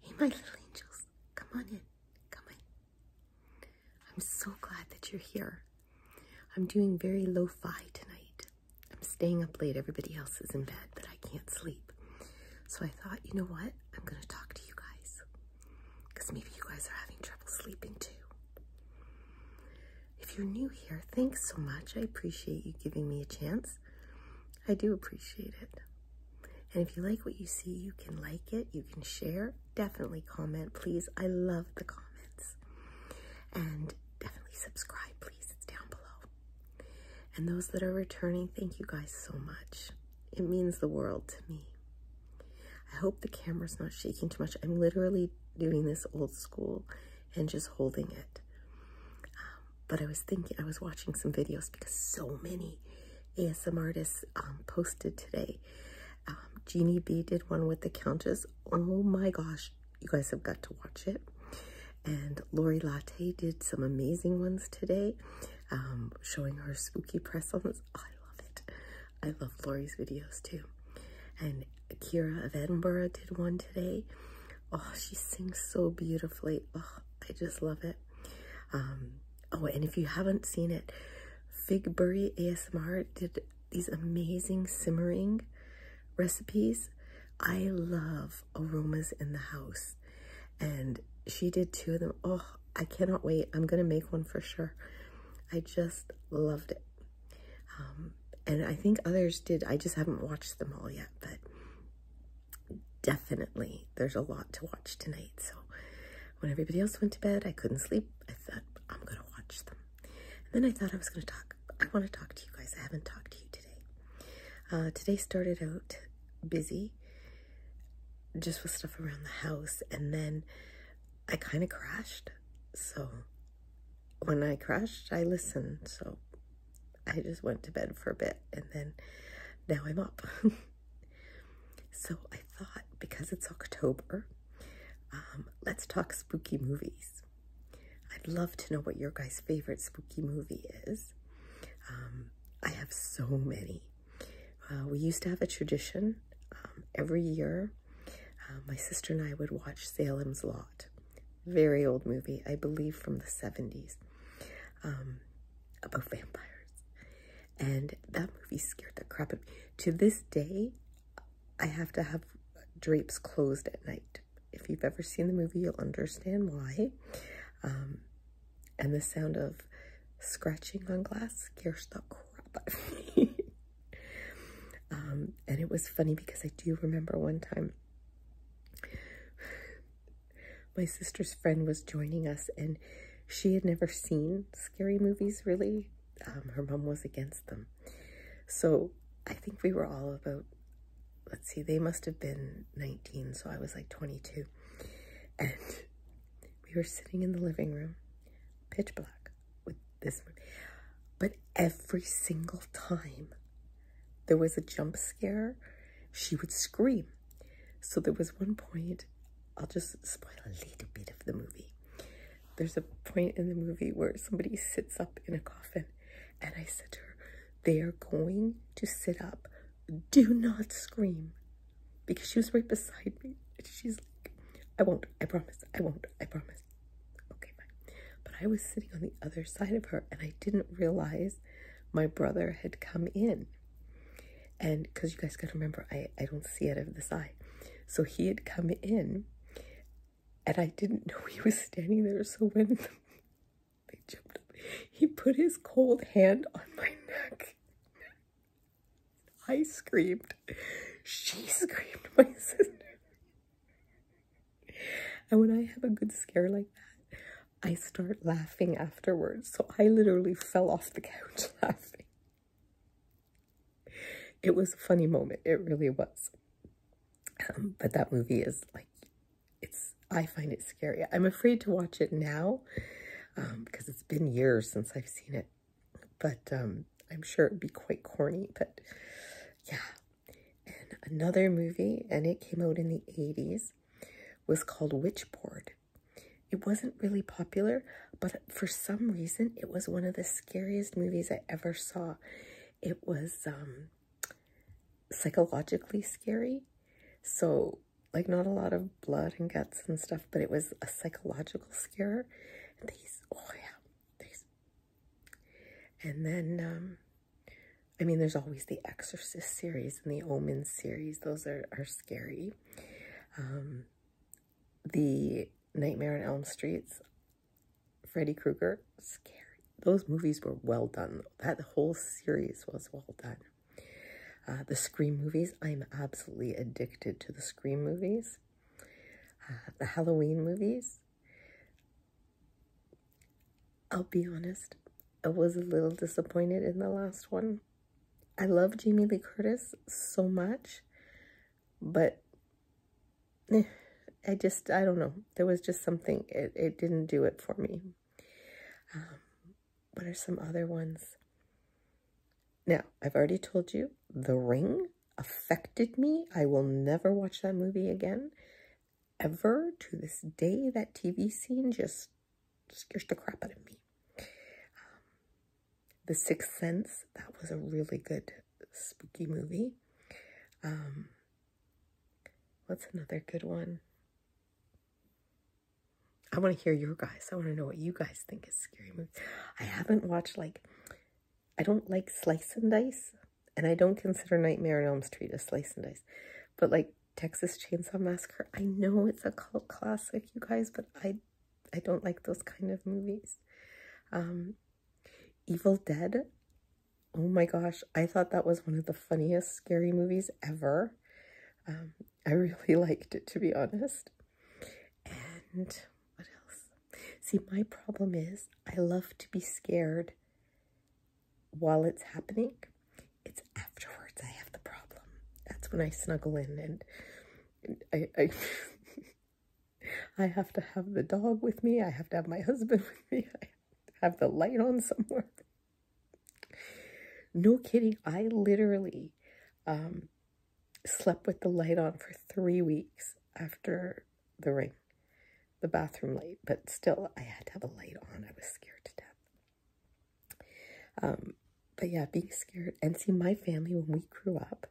Hey, my little angels, come on in, come in. I'm so glad that you're here. I'm doing very lo-fi tonight. I'm staying up late. Everybody else is in bed, but I can't sleep. So I thought, you know what? I'm going to talk to you guys because maybe you guys are having trouble sleeping too. If you're new here, thanks so much. I appreciate you giving me a chance. I do appreciate it. And if you like what you see, you can like it, you can share, definitely comment, please. I love the comments. And definitely subscribe, please. It's down below. And those that are returning, thank you guys so much. It means the world to me. I hope the camera's not shaking too much. I'm literally doing this old school and just holding it. Um, but I was thinking, I was watching some videos because so many ASM artists um, posted today. Um, Jeannie B did one with the Countess. Oh my gosh, you guys have got to watch it. And Lori Latte did some amazing ones today, um, showing her spooky press ons. I love it. I love Lori's videos too. And Kira of Edinburgh did one today. Oh, she sings so beautifully. Oh, I just love it. Um, oh, and if you haven't seen it, Figberry ASMR did these amazing simmering recipes. I love aromas in the house. And she did two of them. Oh, I cannot wait. I'm going to make one for sure. I just loved it. Um, and I think others did. I just haven't watched them all yet, but definitely there's a lot to watch tonight. So when everybody else went to bed, I couldn't sleep. I thought I'm gonna watch them. And then I thought I was gonna talk. I want to talk to you guys. I haven't talked to you today. Uh, today started out busy, just with stuff around the house, and then I kind of crashed. So when I crashed, I listened. So I just went to bed for a bit and then now I'm up. so I thought because it's October, um, let's talk spooky movies. I'd love to know what your guys' favorite spooky movie is. Um, I have so many. Uh, we used to have a tradition um, every year. Uh, my sister and I would watch Salem's Lot very old movie, I believe from the 70s, um, about vampires. And that movie scared the crap out of me. To this day, I have to have drapes closed at night. If you've ever seen the movie, you'll understand why. Um, and the sound of scratching on glass scares the crap out of me. Um, and it was funny because I do remember one time My sister's friend was joining us, and she had never seen scary movies really. Um, her mom was against them. So I think we were all about, let's see, they must have been 19, so I was like 22. And we were sitting in the living room, pitch black, with this one. But every single time there was a jump scare, she would scream. So there was one point, I'll just spoil a little bit of the movie. There's a point in the movie where somebody sits up in a coffin and I said to her, they are going to sit up. Do not scream. Because she was right beside me. She's I won't, I promise, I won't, I promise. Okay, But I was sitting on the other side of her and I didn't realize my brother had come in. And because you guys gotta remember, I, I don't see out of this eye. So he had come in and I didn't know he was standing there. So when they jumped he put his cold hand on my neck. I screamed. She screamed, my sister. And when I have a good scare like that, I start laughing afterwards. So I literally fell off the couch laughing. It was a funny moment. It really was. Um, but that movie is like, it's, I find it scary. I'm afraid to watch it now um, because it's been years since I've seen it. But um, I'm sure it would be quite corny, but yeah. And another movie, and it came out in the 80s, was called Witchboard. It wasn't really popular, but for some reason, it was one of the scariest movies I ever saw. It was um, psychologically scary. So, like, not a lot of blood and guts and stuff, but it was a psychological scare. oh yeah, and then, um, I mean, there's always the Exorcist series and the Omen series. Those are, are scary. Um, the Nightmare on Elm Street's Freddy Krueger, scary. Those movies were well done. That whole series was well done. Uh, the Scream movies, I'm absolutely addicted to the Scream movies. Uh, the Halloween movies. I'll be honest, I was a little disappointed in the last one. I love Jamie Lee Curtis so much, but eh, I just, I don't know. There was just something, it, it didn't do it for me. Um, what are some other ones? Now, I've already told you The Ring affected me. I will never watch that movie again, ever. To this day, that TV scene just scares the crap out of me. Um, the Sixth Sense, that was a really good spooky movie. Um, what's another good one? I want to hear your guys. I want to know what you guys think is scary movies. I haven't watched like I don't like slice and dice, and I don't consider Nightmare on Elm Street a slice and dice, but like Texas Chainsaw Massacre, I know it's a cult classic, you guys, but I, I don't like those kind of movies. Um, Evil Dead, oh my gosh, I thought that was one of the funniest scary movies ever. Um, I really liked it, to be honest. And what else? See, my problem is I love to be scared while it's happening. It's afterwards I have the problem. That's when I snuggle in and, I, I have to have the dog with me. I have to have my husband with me. I have the light on somewhere. No kidding. I literally um, slept with the light on for three weeks after the ring, the bathroom light, but still I had to have a light on. I was scared to death. Um, but yeah, being scared and see my family when we grew up,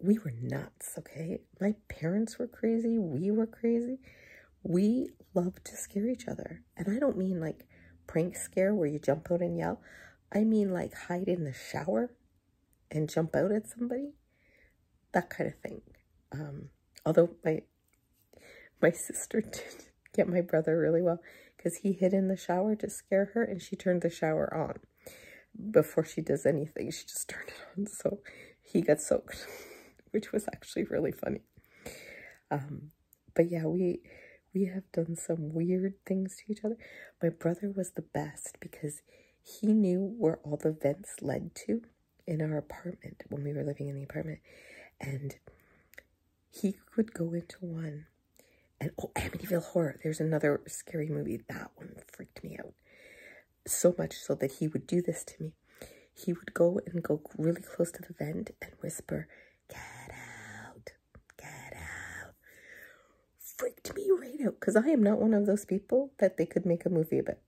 we were nuts, okay? My parents were crazy. We were crazy. We loved to scare each other. And I don't mean like prank scare where you jump out and yell. I mean like hide in the shower and jump out at somebody, that kind of thing. Um, although my my sister did get my brother really well because he hid in the shower to scare her and she turned the shower on before she does anything. She just turned it on. So he got soaked, which was actually really funny. Um, but yeah, we we have done some weird things to each other. My brother was the best because he knew where all the vents led to in our apartment when we were living in the apartment. And he could go into one. And oh, Amityville Horror, there's another scary movie. That one freaked me out so much so that he would do this to me. He would go and go really close to the vent and whisper, Get out. Get out. Freaked me right out because I am not one of those people that they could make a movie about.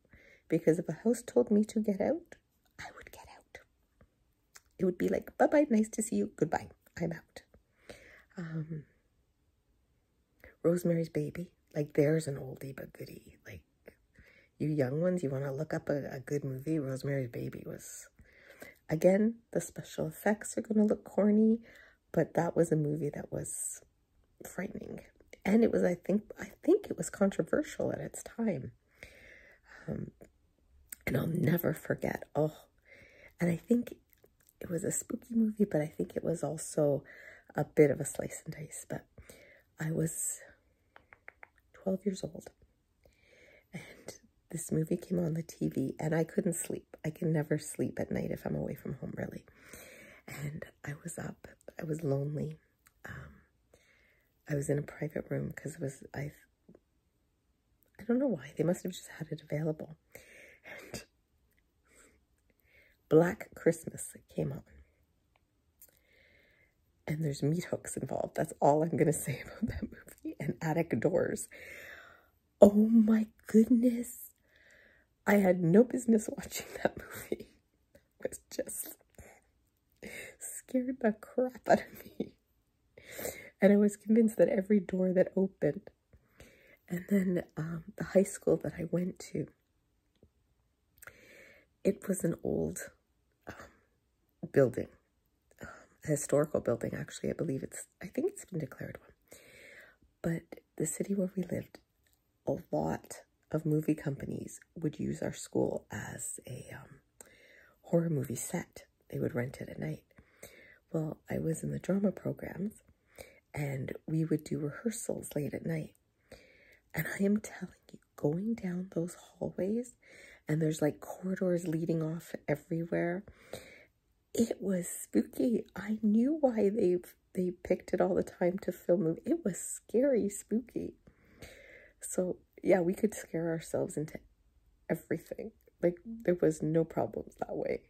Because if a house told me to get out, I would get out. It would be like, bye bye, nice to see you, goodbye, I'm out. Um, Rosemary's Baby, like there's an oldie but goodie. Like you young ones, you want to look up a, a good movie. Rosemary's Baby was Again, the special effects are going to look corny, but that was a movie that was frightening. And it was, I think, I think it was controversial at its time. Um, and I'll never forget. Oh, and I think it was a spooky movie, but I think it was also a bit of a slice and dice. But I was 12 years old and this movie came on the TV and I couldn't sleep. I can never sleep at night if I'm away from home, really. And I was up. I was lonely. Um, I was in a private room because it was, I I don't know why. They must have just had it available. And Black Christmas came on and there's meat hooks involved. That's all I'm going to say about that movie. And attic doors. Oh my goodness. I had no business watching that movie. It was just scared the crap out of me. And I was convinced that every door that opened. And then um, the high school that I went to, it was an old building, historical building, actually. I believe it's, I think it's been declared one. But the city where we lived, a lot of movie companies would use our school as a um, horror movie set. They would rent it at night. Well, I was in the drama programs and we would do rehearsals late at night. And I am telling you, going down those hallways and there's like corridors leading off everywhere. It was spooky. I knew why they they picked it all the time to film. It was scary, spooky. So yeah, we could scare ourselves into everything. Like there was no problems that way.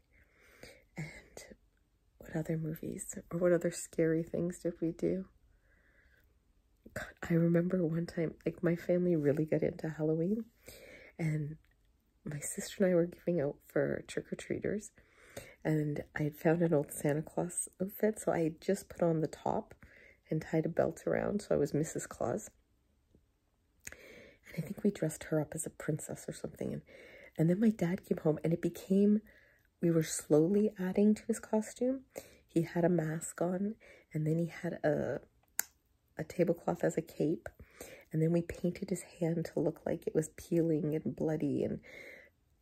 And what other movies or what other scary things did we do? I remember one time, like my family really got into Halloween and my sister and I were giving out for trick-or-treaters and I had found an old Santa Claus outfit. So I just put on the top and tied a belt around. So I was Mrs. Claus. And I think we dressed her up as a princess or something. And, and then my dad came home and it became, we were slowly adding to his costume. He had a mask on, and then he had a, a tablecloth as a cape. And then we painted his hand to look like it was peeling and bloody. And,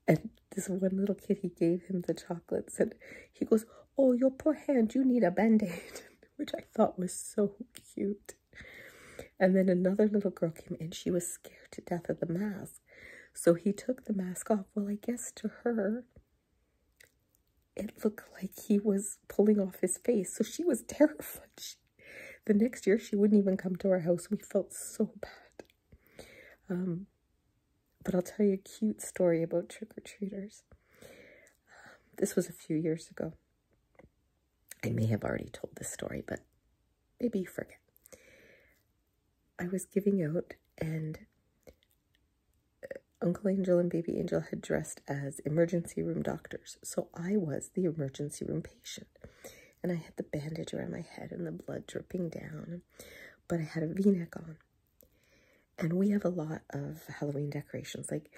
and this one little kid, he gave him the chocolates. And he goes, oh, your poor hand, you need a Band-Aid. Which I thought was so cute. And then another little girl came and She was scared to death of the mask. So he took the mask off. Well, I guess to her, it looked like he was pulling off his face. So she was terrified. the next year, she wouldn't even come to our house. We felt so bad. Um, but I'll tell you a cute story about trick-or-treaters. Um, this was a few years ago. I may have already told this story, but maybe you forget. I was giving out, and uh, Uncle Angel and Baby Angel had dressed as emergency room doctors. So I was the emergency room patient. And I had the bandage around my head and the blood dripping down, but I had a v neck on. And we have a lot of Halloween decorations. Like,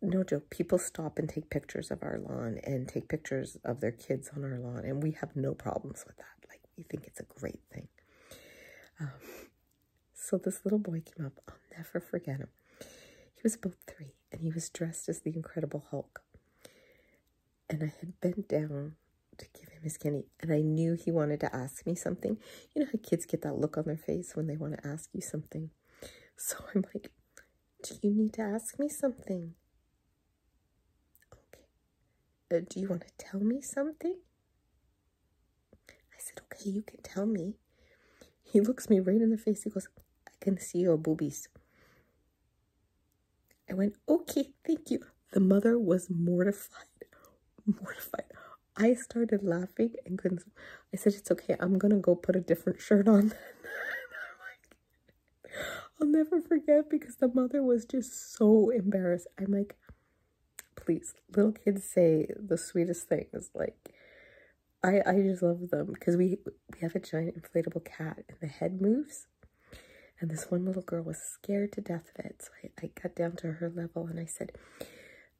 no joke, people stop and take pictures of our lawn and take pictures of their kids on our lawn, and we have no problems with that. Like, you think it's a great thing. Um, so this little boy came up. I'll never forget him. He was about three, and he was dressed as the Incredible Hulk. And I had bent down to give him his candy, and I knew he wanted to ask me something. You know how kids get that look on their face when they want to ask you something. So I'm like, "Do you need to ask me something?" Okay. Uh, do you want to tell me something? I said, okay, you can tell me. He looks me right in the face. He goes, I can see your boobies. I went, okay, thank you. The mother was mortified. Mortified. I started laughing and couldn't. I said, it's okay. I'm going to go put a different shirt on. I'll never forget because the mother was just so embarrassed. I'm like, please, little kids say the sweetest things. Like, I I just love them because we we have a giant inflatable cat and the head moves. And this one little girl was scared to death of it. So I, I got down to her level and I said,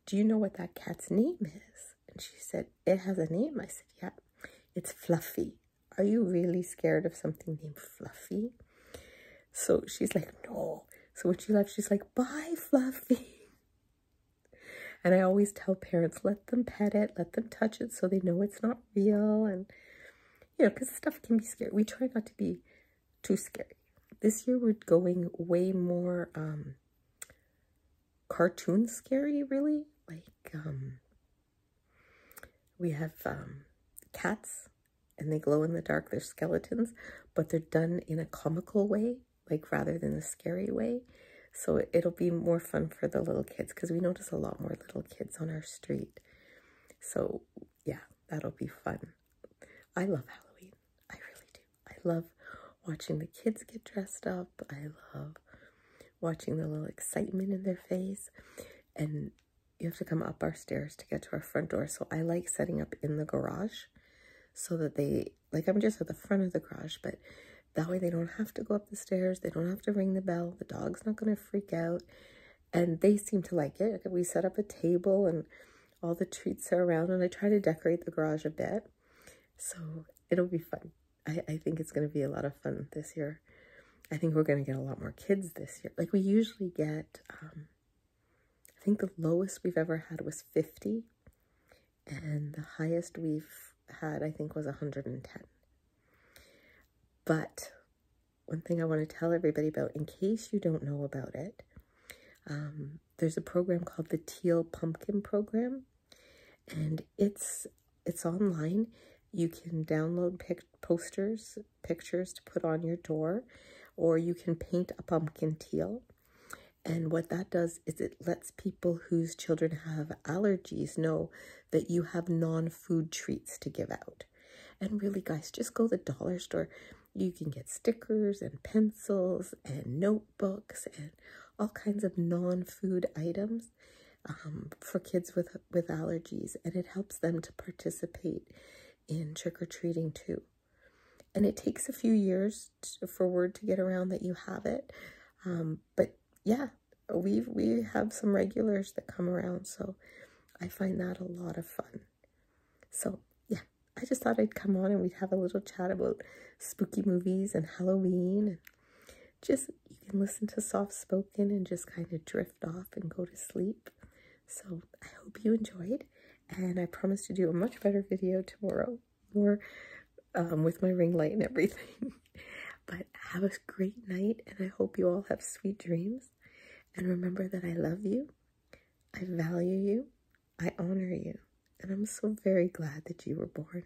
Do you know what that cat's name is? And she said, It has a name. I said, Yeah, it's Fluffy are you really scared of something named Fluffy? So she's like, no. So when she left, she's like, bye, Fluffy. And I always tell parents, let them pet it, let them touch it so they know it's not real. And, you know, because stuff can be scary. We try not to be too scary. This year we're going way more um, cartoon scary, really. Like, um, we have um, cats, and they glow in the dark. They're skeletons, but they're done in a comical way, like rather than the scary way. So it'll be more fun for the little kids because we notice a lot more little kids on our street. So yeah, that'll be fun. I love Halloween. I really do. I love watching the kids get dressed up. I love watching the little excitement in their face. And you have to come up our stairs to get to our front door. So I like setting up in the garage so that they, like I'm just at the front of the garage, but that way they don't have to go up the stairs. They don't have to ring the bell. The dog's not going to freak out. And they seem to like it. We set up a table and all the treats are around and I try to decorate the garage a bit. So it'll be fun. I, I think it's going to be a lot of fun this year. I think we're going to get a lot more kids this year. Like we usually get, um, I think the lowest we've ever had was 50, and the highest we've had, I think, was 110. But one thing I want to tell everybody about, in case you don't know about it, um, there's a program called the Teal Pumpkin Program, and it's it's online. You can download pick posters, pictures to put on your door, or you can paint a pumpkin teal. And what that does is it lets people whose children have allergies know that you have non food treats to give out. And really, guys, just go the dollar store. You can get stickers and pencils and notebooks and all kinds of non food items um, for kids with with allergies, and it helps them to participate in trick or treating too. And it takes a few years for word to get around that you have it, um, but yeah, we we have some regulars that come around, so I find that a lot of fun. So yeah, I just thought I'd come on and we'd have a little chat about spooky movies and Halloween just you can listen to soft spoken and just kind of drift off and go to sleep. So I hope you enjoyed, and I promise to do a much better video tomorrow, more um, with my ring light and everything. but have a great night, and I hope you all have sweet dreams. And remember that I love you, I value you, I honor you, and I'm so very glad that you were born.